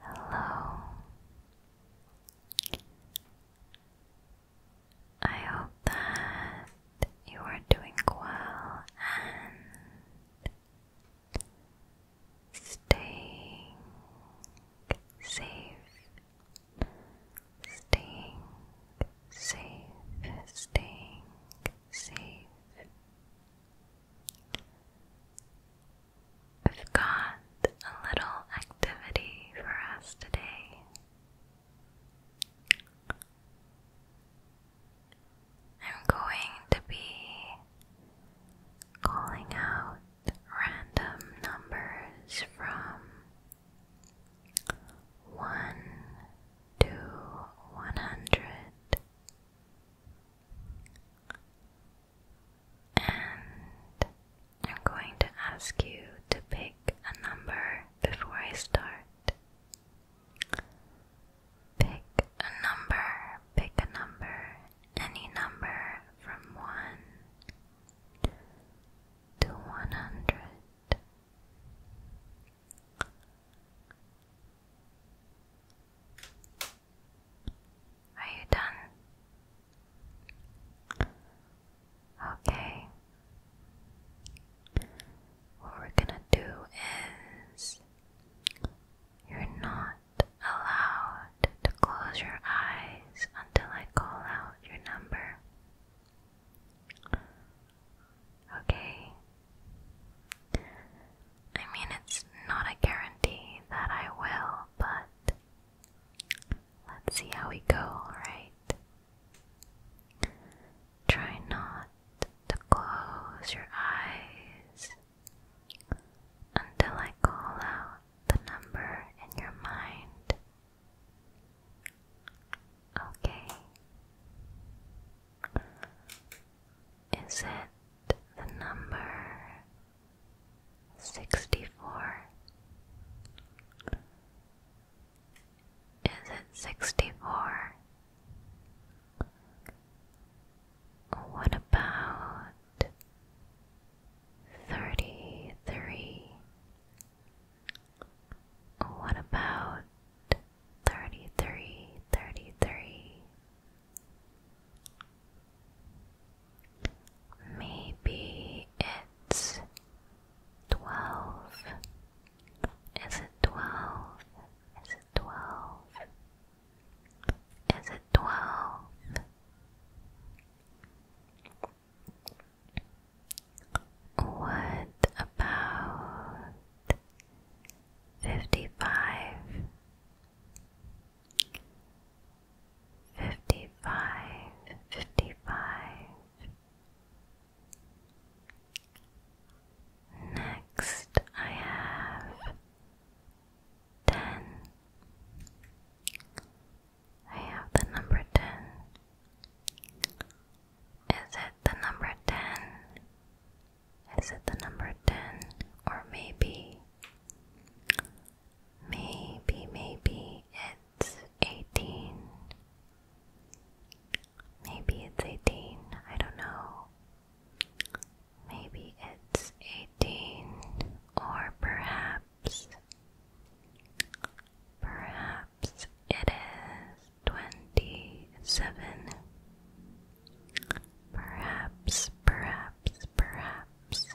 Hello. I hope that you are doing well and staying safe staying safe, staying safe. We've got a little activity for us today. I'm going to be calling out random numbers from 1 to one hundred and I'm going to ask you to pick a number before I start. Pick a number, pick a number, any number from one to one hundred. Are you done? Okay. What we're gonna do is you're not allowed to close your eyes until I call out your number. Okay. I mean, it's not a guarantee that I will, but let's see how we go, right? Try not to close your eyes until I call out the number in your mind. Okay. Is it the number sixty four? Is it sixty four? What about thirty three? What about thirty three, thirty three? Maybe it's twelve. Is it twelve? Is it twelve? Is it twelve? What about fifty five? Fifty five, fifty five. Next, I have ten. I have the number ten. Is it the number 10? Is it the number 10? Or maybe, maybe, maybe it's 18. Maybe it's 18. I don't know. Maybe it's 18. Or perhaps, perhaps it is twenty-seven. Perhaps, perhaps, perhaps,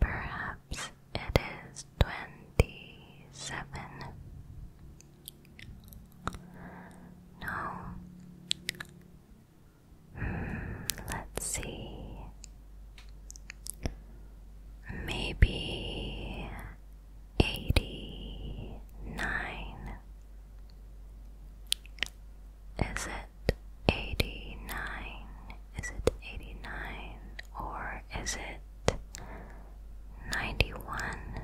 perhaps it is twenty-seven. No. Hmm, let's see. Maybe eighty nine. Is it eighty nine? Is it eighty nine or is it ninety one?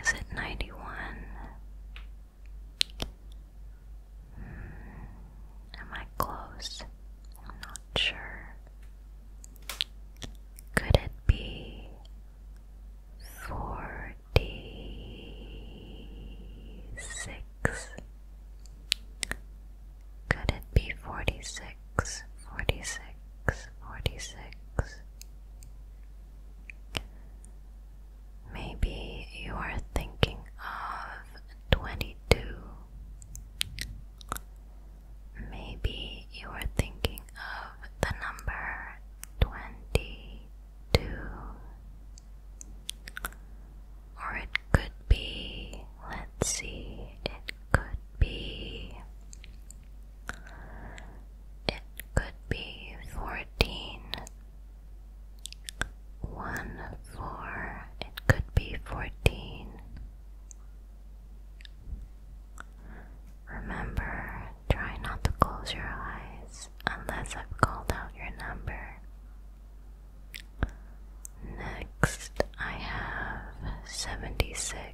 Is it ninety one? Hmm. Am I close? I'm not sure. Could it be forty six? Could it be forty six? Forty six, forty six. Maybe you are thinking of twenty two. Maybe you are thinking of the number 22. Or it could be, let's see, it could be, it could be 14. 1 4, it could be 14. Remember, try not to close your eyes unless I've called out your number. Next, I have 76.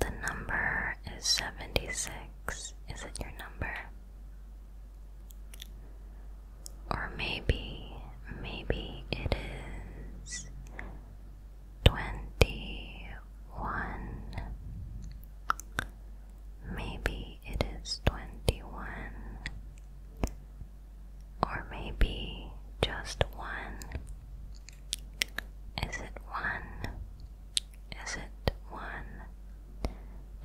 The number is 76. Is it your number? Or maybe, maybe it is twenty one. Maybe it is twenty one. Or maybe just one. Is it one? Is it one?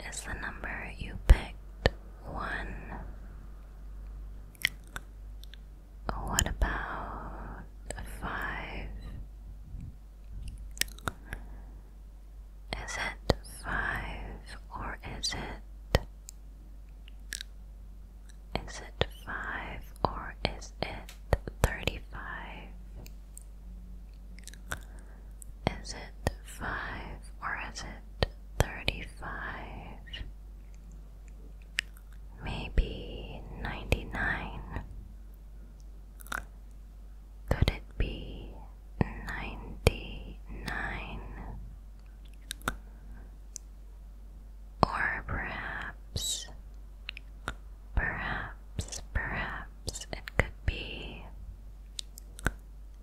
Is the number you picked one? What about five? Is it five or is it? Is it five or is it thirty five? Is it five or is it thirty five? Maybe ninety nine? Could it be ninety nine? Or perhaps, perhaps, perhaps it could be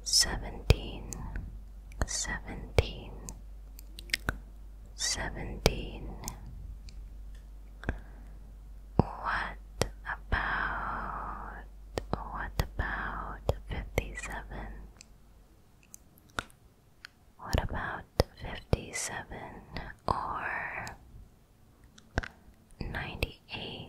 seventeen, seventeen, seventeen. What about what about fifty seven? What about fifty seven or ninety eight?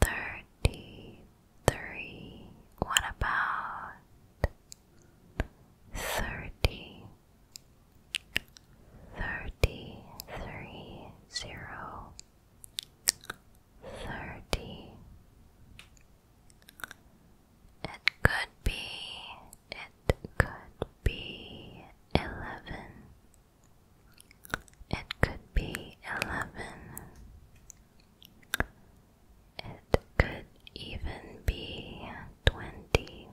Thirty-three. What about thirty? Thirty-three zero. Thirty. It could be. It could be eleven. It could be 11. It could even be 20.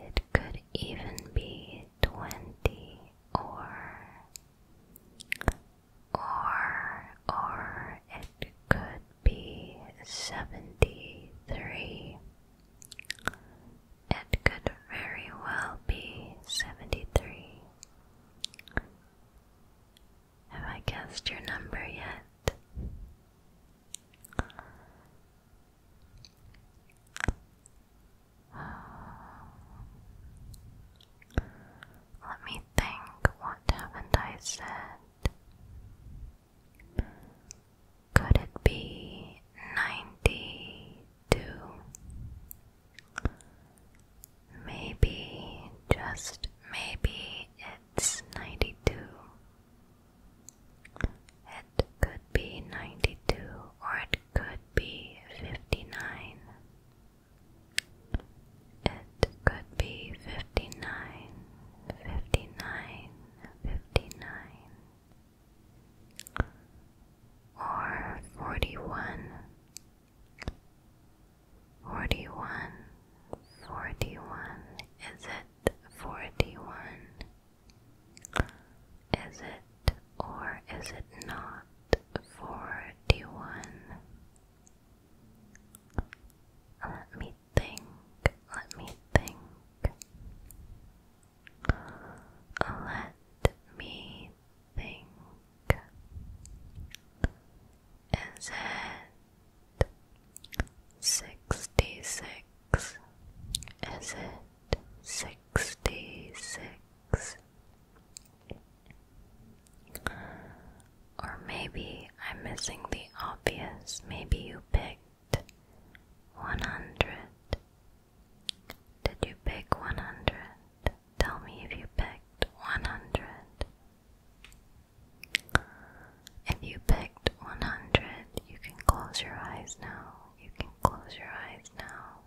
It could even be 20 or or or it could be 73 it could very well be 73. Have I guessed your number yet? Let me think, what haven't I said? Could it be ninety two? Maybe, just maybe it's ninety two. It could be ninety two or it could be fifty nine. It could be fifty nine, fifty nine, fifty nine or forty one, forty one, forty one, is it forty one? Is it or is it not forty one? Let me think, let me think. Let me think. Is it sixty six? Is it sixty six? Or maybe I'm missing the obvious. Maybe you picked one hundred did you pick 100? Tell me if you picked 100. If you picked 100, you can close your eyes now. You can close your eyes now.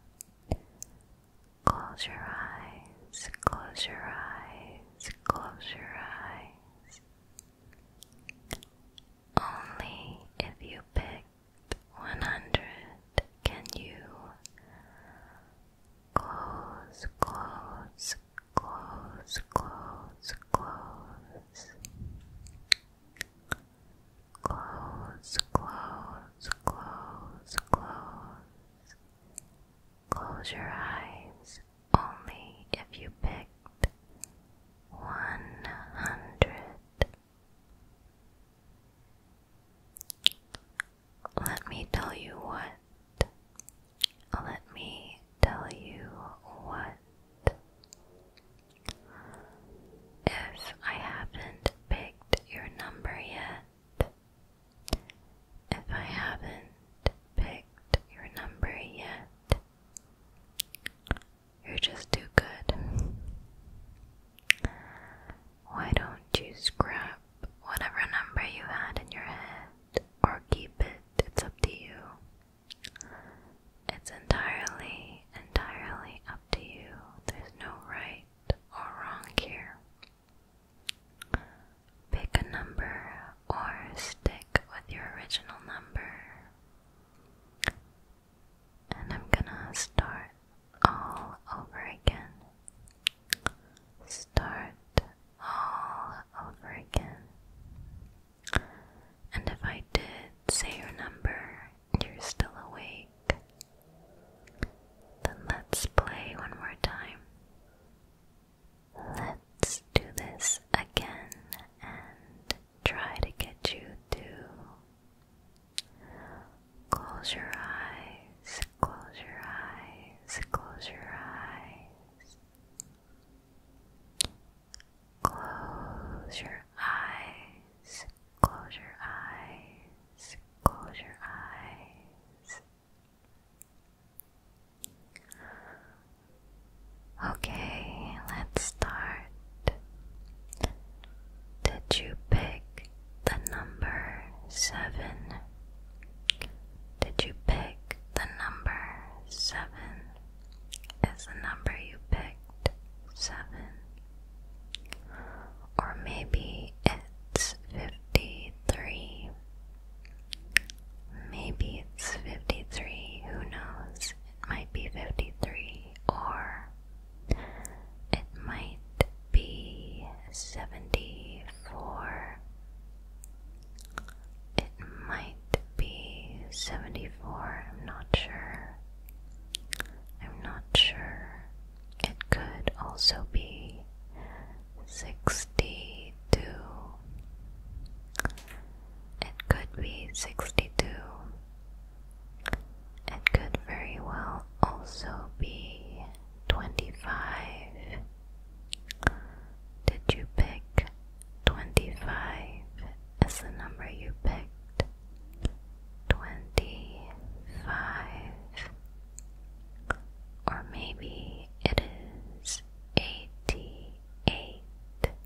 Close your eyes, close your eyes, close your eyes. Only if you pick one hundred. Can you close, close, close, close, close, close, close, close, close? Close your eyes only if you picked one hundred let me tell you what. Let me tell you what. If I haven't picked your number yet, if I haven't picked your number yet, you're just too good. Why don't you scrap whatever number you had in your head or keep it? It's up to you. It's entirely, entirely up to you. There's no right or wrong here. Pick a number or stick with your original number and I'm gonna start all over again. Start all over again. And if I did say your number and you're still awake, then let's play one more time. Let's do this again and try to get you to Close your eyes, close your eyes, close your eyes. Close your eyes, close your eyes, close your eyes. Okay, let's start. Did you pick the number seven? Did you pick the number seven? Is the number you picked seven? Or maybe it's 53. Maybe it's 53, who knows? It might be 53 or it might be 74. It might be 74. I'm not sure. I'm not sure. It could also be 62. It could be 62. It could very well also be 25. Did you pick 25 as the number you picked? 25. Or maybe it is 88.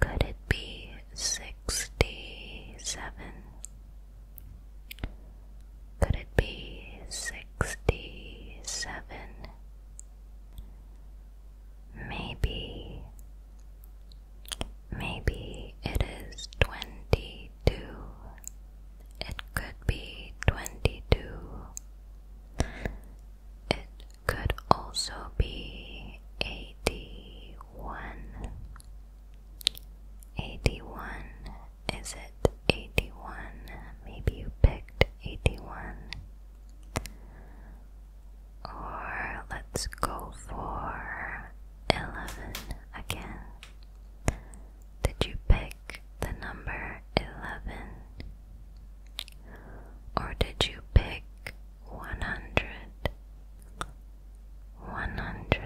Could it be sixty seven? Could it be sixty seven? Maybe, maybe it is twenty two. It could be twenty two. It could also be 81. 81, is it 81? Maybe you picked 81. Or let's go for 11 again. Did you pick the number 11? Or did you pick 100? 100.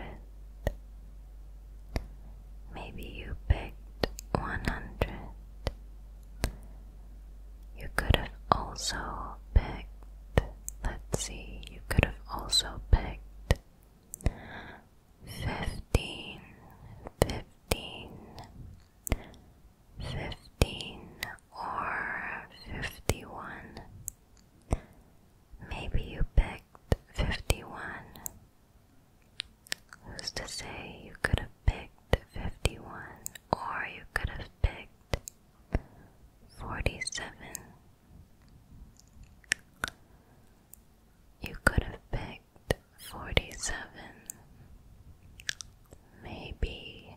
Maybe you picked 100. You could have also picked, let's see, you could have also picked 15, 15, 15, or 51? Maybe you picked 51. Who's to say you could have picked 51 or you could have picked 47? You could have picked 47. Maybe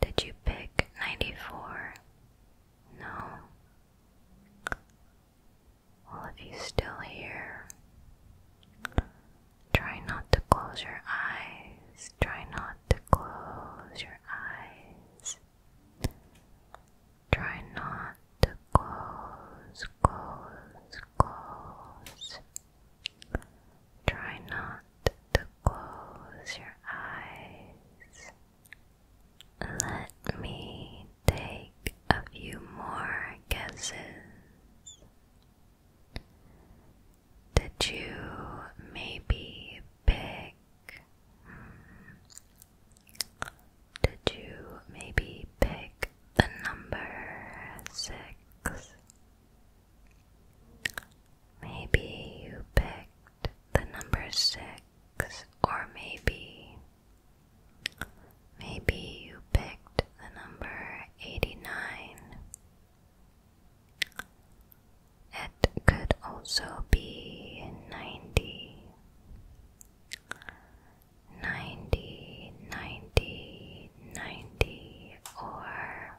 Did you pick 94? No. Well, if you're still here, try not to close your eyes. Try not to close your eyes. Try not to close, close, close. Try not to close your eyes. Let me take a few more guesses. Did you maybe pick? Hmm, did you maybe pick the number six? Maybe you picked the number six, or maybe, maybe you picked the number 89. It could also be 90. 90, 90, 90, or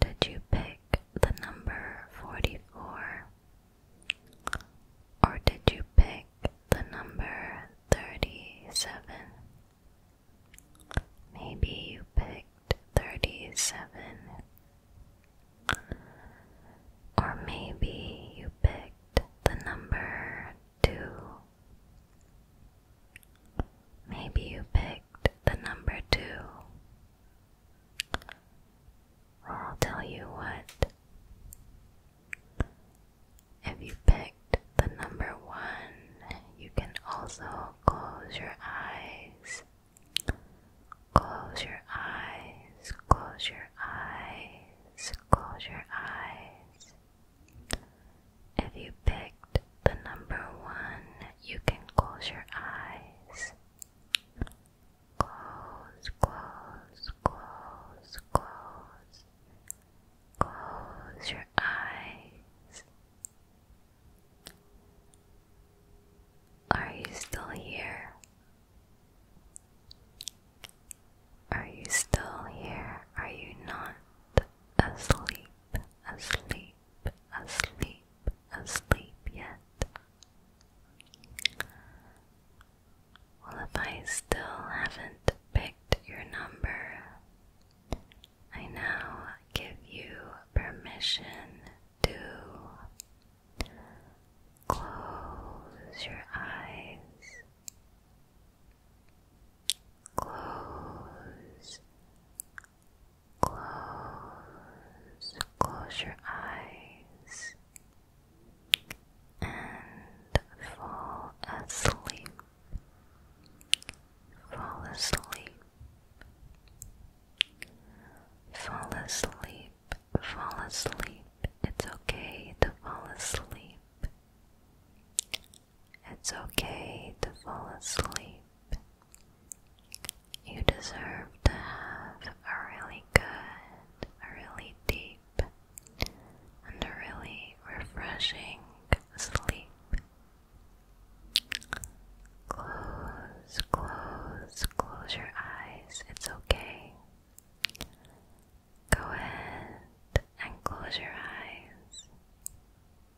Did you pick the number 44? Or did you pick the number 37? Maybe you picked 37. Or maybe you picked the number 2 Maybe you picked the number two. Or I'll tell you what. If you picked the number one, you can also close your eyes. Close your eyes, close your eyes, close your eyes. If you picked the number one, you can close your eyes. Close, close, close, close. Close your eyes. Are you still here? Are you still here? Are you not asleep? asleep, asleep, asleep yet? Well, if I still haven't picked your number, I now give you permission to close your eyes. Close, close, close your eyes and fall asleep. Fall asleep. Fall asleep. Fall asleep. It's okay to fall asleep. It's okay to fall asleep. You deserve to have a really good, a really deep, and a really refreshing sleep. Close, close, close your eyes. It's okay. Go ahead and close your eyes.